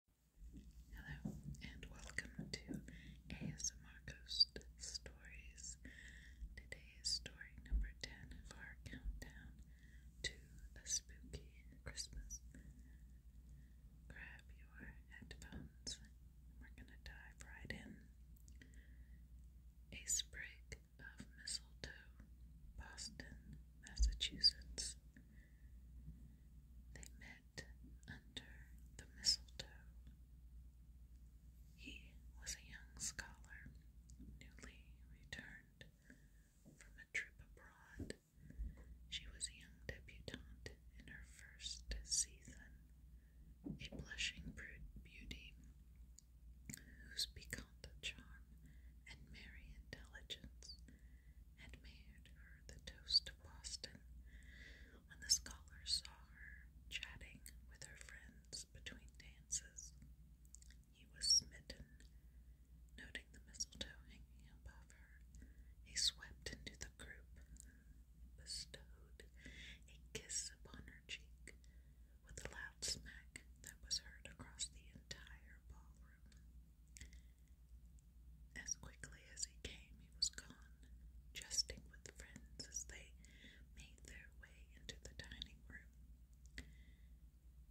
Hello, and welcome to ASMR Ghost Stories. Today is story number 10 of countdown to a spooky Christmas. Grab your headphones, we're gonna dive right in. A sprig of mistletoe, Boston, Massachusetts. They met under the mistletoe. He was a young scholar, newly returned from a trip abroad. She was a young debutante in her first season, a blushing beauty whose piquant charm and merry intelligence had made her the toast of Boston. When the scholar saw her chatting with her friends between dances, he was smitten. Noting the mistletoe hanging above her, he swept into the group and bestowed a kiss upon her cheek with a loud smack that was heard across the entire ballroom. As quickly as he came, he was gone, jesting with friends as they made their way into the dining room.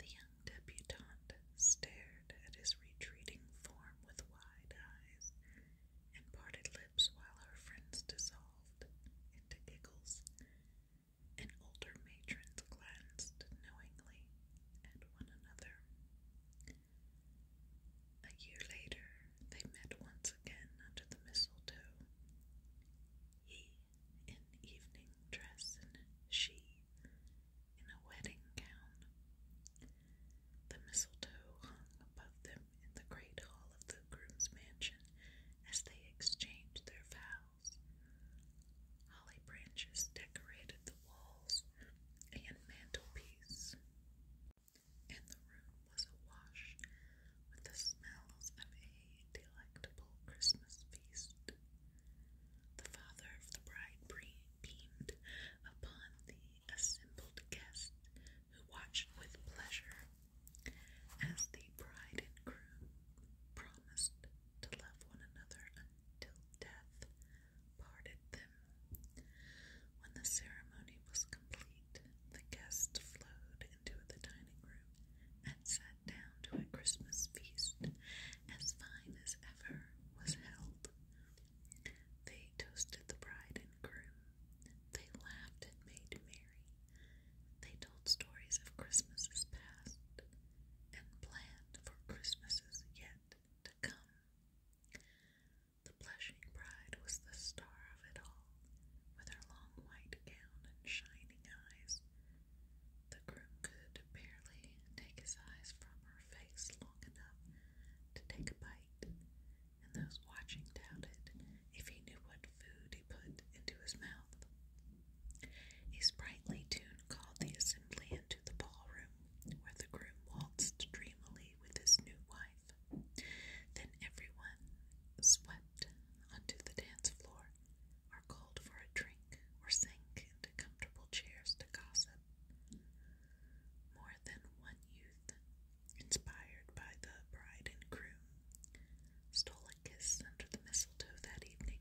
The young debutante stared at his retreating form with wide eyes and parted lips while her friends dissolved into giggles. And older matrons glanced knowingly at one another. A year later, they met once again under the mistletoe. He in evening dress and she in a wedding gown. The mistletoe hung above them in the great hall of the groom's mansion as they exchanged their vows. Holly branches decorated the walls, and mantelpiece. And the room was awash with the smells of a delectable Christmas feast. The father of the bride beamed upon the assembled guests who watched with pleasure as the bride and groom promised to love one another until death parted them. When the ceremony was complete, the guests flowed into the dining room and sat down to a Christmas feast as fine as ever was held. They toasted the bride and groom. They laughed and made merry. They told stories of Christmases past and planned for Christmases yet to come. The blushing bride was the star of it all, with her long white gown and shining eyes. The groom could barely take his eyes from her face long enough to take a bite, and those watching doubted if he knew what food he put into his mouth. A sprightly tune called the assembly into the ballroom, where the groom waltzed dreamily with his new wife. Then everyone swept onto the dance floor, or called for a drink, or sank into comfortable chairs to gossip. More than one youth, inspired by the bride and groom, stole a kiss under the mistletoe that evening.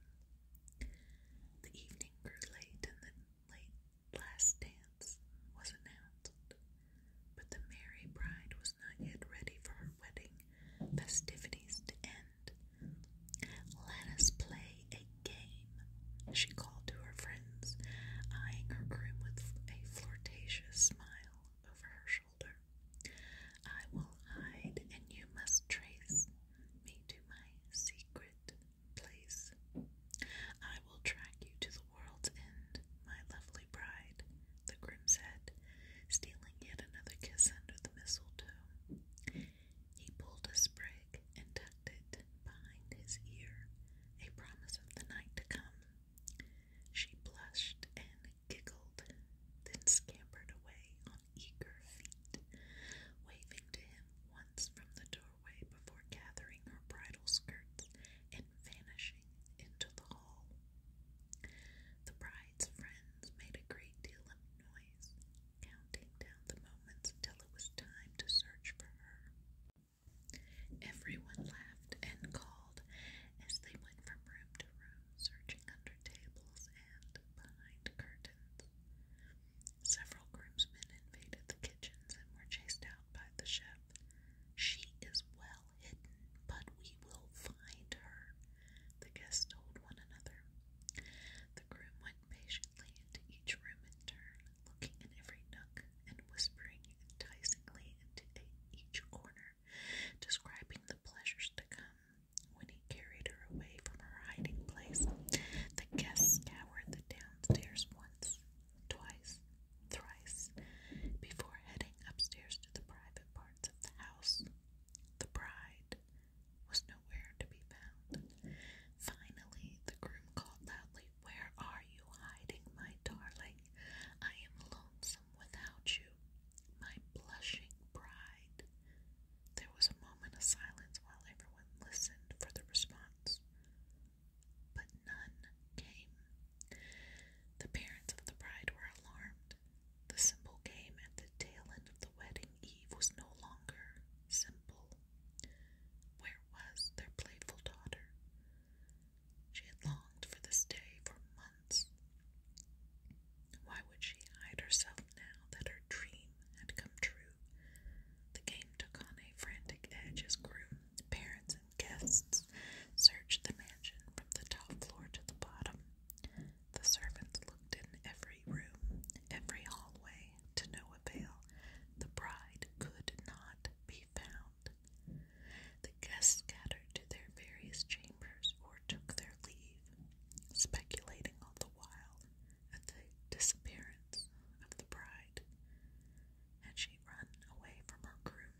The evening grew late, and the late Last Dance was announced, but the merry bride was not yet ready for her wedding festivities to end. Let us play a game, she called to her friends, eyeing her groom with a flirtatious smile over her shoulder. I will hide, and you must trace me to my secret place. I will track you to the world's end, my lovely bride, the groom said, stealing yet another kiss under the mistletoe. He pulled a sprig and tucked it behind his ear, a promise of the night to come. She blushed and giggled, then scampered away on eager feet, waving to him once from the door doorway before gathering her bridal skirts and vanishing into the hall. The bride's friends made a great deal of noise, counting down the moments till it was time to search for her. Everyone laughed and called as they went from room to room, searching under tables and behind curtains. Several groomsmen invaded the kitchens and were chased out by the chef. She is well hidden, but we will find her, the guests told one another. The groom went patiently into each room in turn, looking in every nook and whispering enticingly into each corner, describing the pleasures to come. When he carried her away from her hiding place, the guests scoured the downstairs once, twice, thrice, before heading upstairs to the private parts of the house. The bride was nowhere to be found. Finally, the groom called loudly, Where are you hiding, my darling? I am lonesome without you, my blushing bride. There was a moment of silence while everyone listened for the response but none came. The parents of the bride were alarmed. The simple game at the tail end of the wedding eve was no longer simple. Where was their playful daughter? She had longed for this day for months. Why would she hide herself now that her dream had come true? The game took on a frantic edge as groom, parents, and guests searched the mansion from the top floor to the bottom. The servants looked in every room, every hallway, to no avail. The bride could not be found. The guests scattered to their various chambers or took their leave, speculating all the while at the disappearance of the bride. Had she run away from her groom,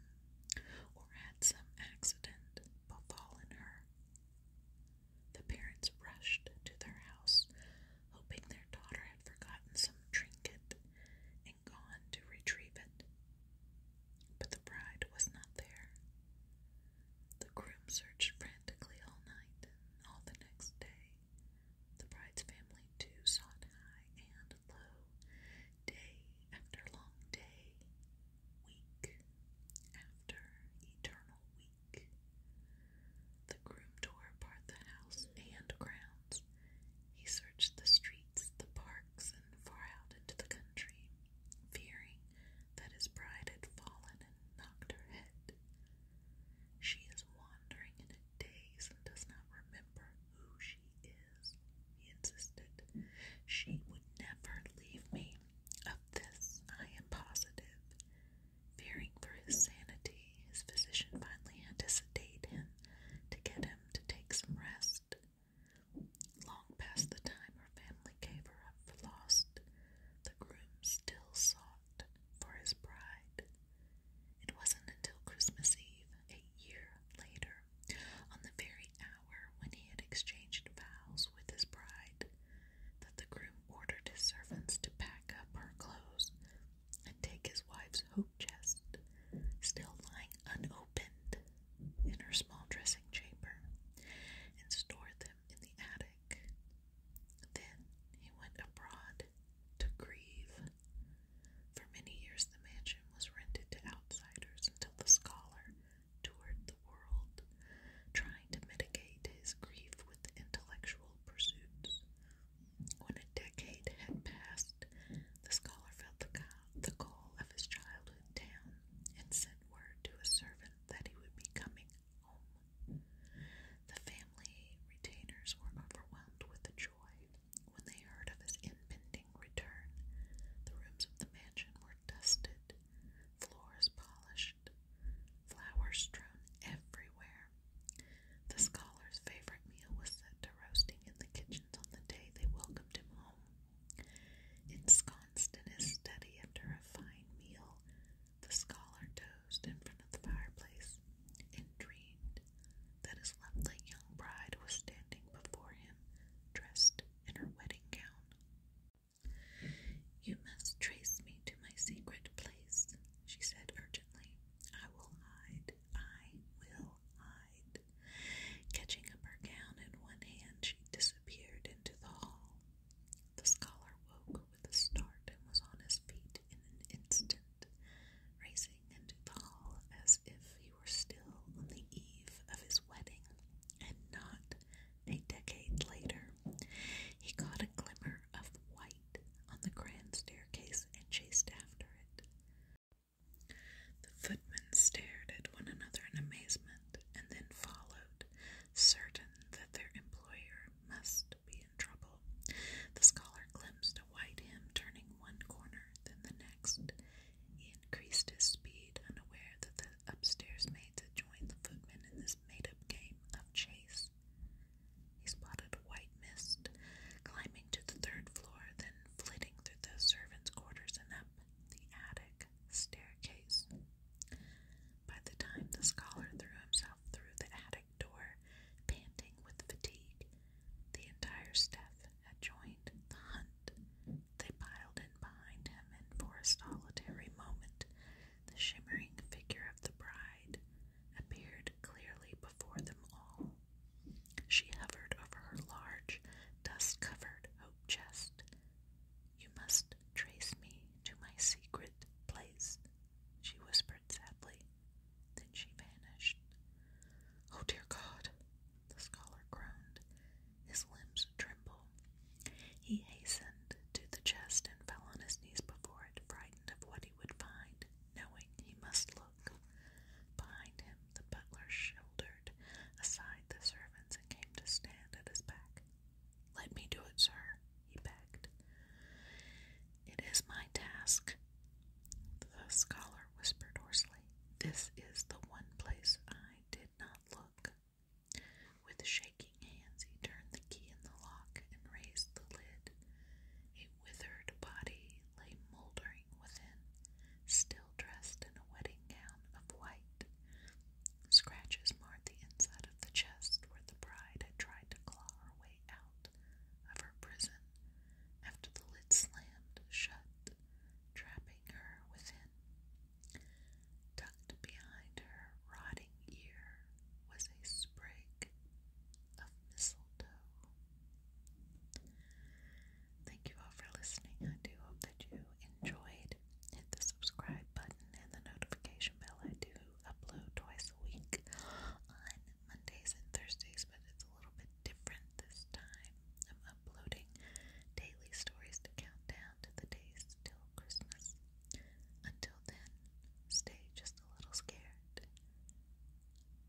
or had some accident befallen her? The parents rushed to their house, hoping their daughter had forgotten some trinket and gone to retrieve it. But the bride was not there. The groom searched frantically all night and all the next day, the bride's family, too, sought high and low, day after long day, week after eternal week. The groom tore apart the house and grounds. He searched the streets, the parks, and far out into the country, fearing that his bride had fallen and knocked her head she is wandering in a daze and does not remember who she is, he insisted. She would never leave me. Of this I am positive. Fearing for his sanity, his physician finally had him to get him to take some rest. Long past the time her family gave her up for lost, the groom still sought for his bride. It wasn't until Christmas Eve, a year later, on the very hour when he had exchanged vows with his bride, that the groom ordered his servants to pack up her clothes and take his wife's hope chest, still lying unopened in her small dressing chamber, and store them in the attic. Then he went abroad to grieve. For many years, the mansion was rented to outsiders until the scholar toured the world, trying to mitigate his grief with intellectual pursuits. When a decade had passed, the scholar felt the, the call of his childhood town and sent word to a servant that he would be coming home. The family retainers were overwhelmed with joy when they heard of his impending return. The rooms of the mansion were dusted, floors polished, flowers strewn everywhere. The scholar's favorite meal was set to roasting in the kitchens on the day they welcomed him home. Ensconced in his study after a fine meal, the scholar dove in front of the fireplace, and dreamed that his lovely young bride was standing before him, dressed in her wedding gown. You must trace me to my secret place, she said urgently. I will hide, I will hide. Catching up her gown in one hand, she disappeared into the hall. The scholar woke with a start and was on his feet in an instant racing into the hall as if he were still on the eve of his wedding and not a decade later. He caught a glimmer of white on the grand staircase and chased after it. The footmen stared at one another in amazement and then followed, certain that their employer must be in trouble. The scholar glimpsed a white him turning one corner, then the next. He increased his speed, unaware that the upstairs maids had joined the footmen in this made up game of chase. He spotted a white mist, climbing to the third floor, then flitting through the servants' quarters and up the attic staircase. By the time the scholar threw himself through the attic, door, panting with fatigue. The entire staff had joined the hunt. They piled in behind him, and for a solitary moment, the shimmering figure of the bride appeared clearly before them all. She hovered over her large, dust covered oak chest. You must trace me to my secret place, she whispered sadly. Then she vanished. Oh, dear God! The scholar groaned. His limbs trembled. He hastened to the chest and fell on his knees before it, frightened of what he would find, knowing he must look. Behind him, the butler shouldered aside the servants and came to stand at his back. Let me do it, sir, he begged. It is my task, the scholar whispered hoarsely. This is the one place I did not look. With shaking hands, he turned the key in the lock and raised the lid. A withered body lay mouldering within, still dressed in a wedding gown of white. Scratches marred the inside of the chest where the bride had tried to claw her way out of her prison after the lid slammed shut, trapping her within. Tucked behind her rotting ear was a sprig of mistletoe. Thank you all for listening. I do hope that you enjoyed. Hit the subscribe button and the notification bell. I do upload twice a week and Mondays and Thursdays, but it's a little bit different this time. I'm uploading daily stories to count down to the days till Christmas. Until then, stay just a little scared.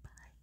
Bye.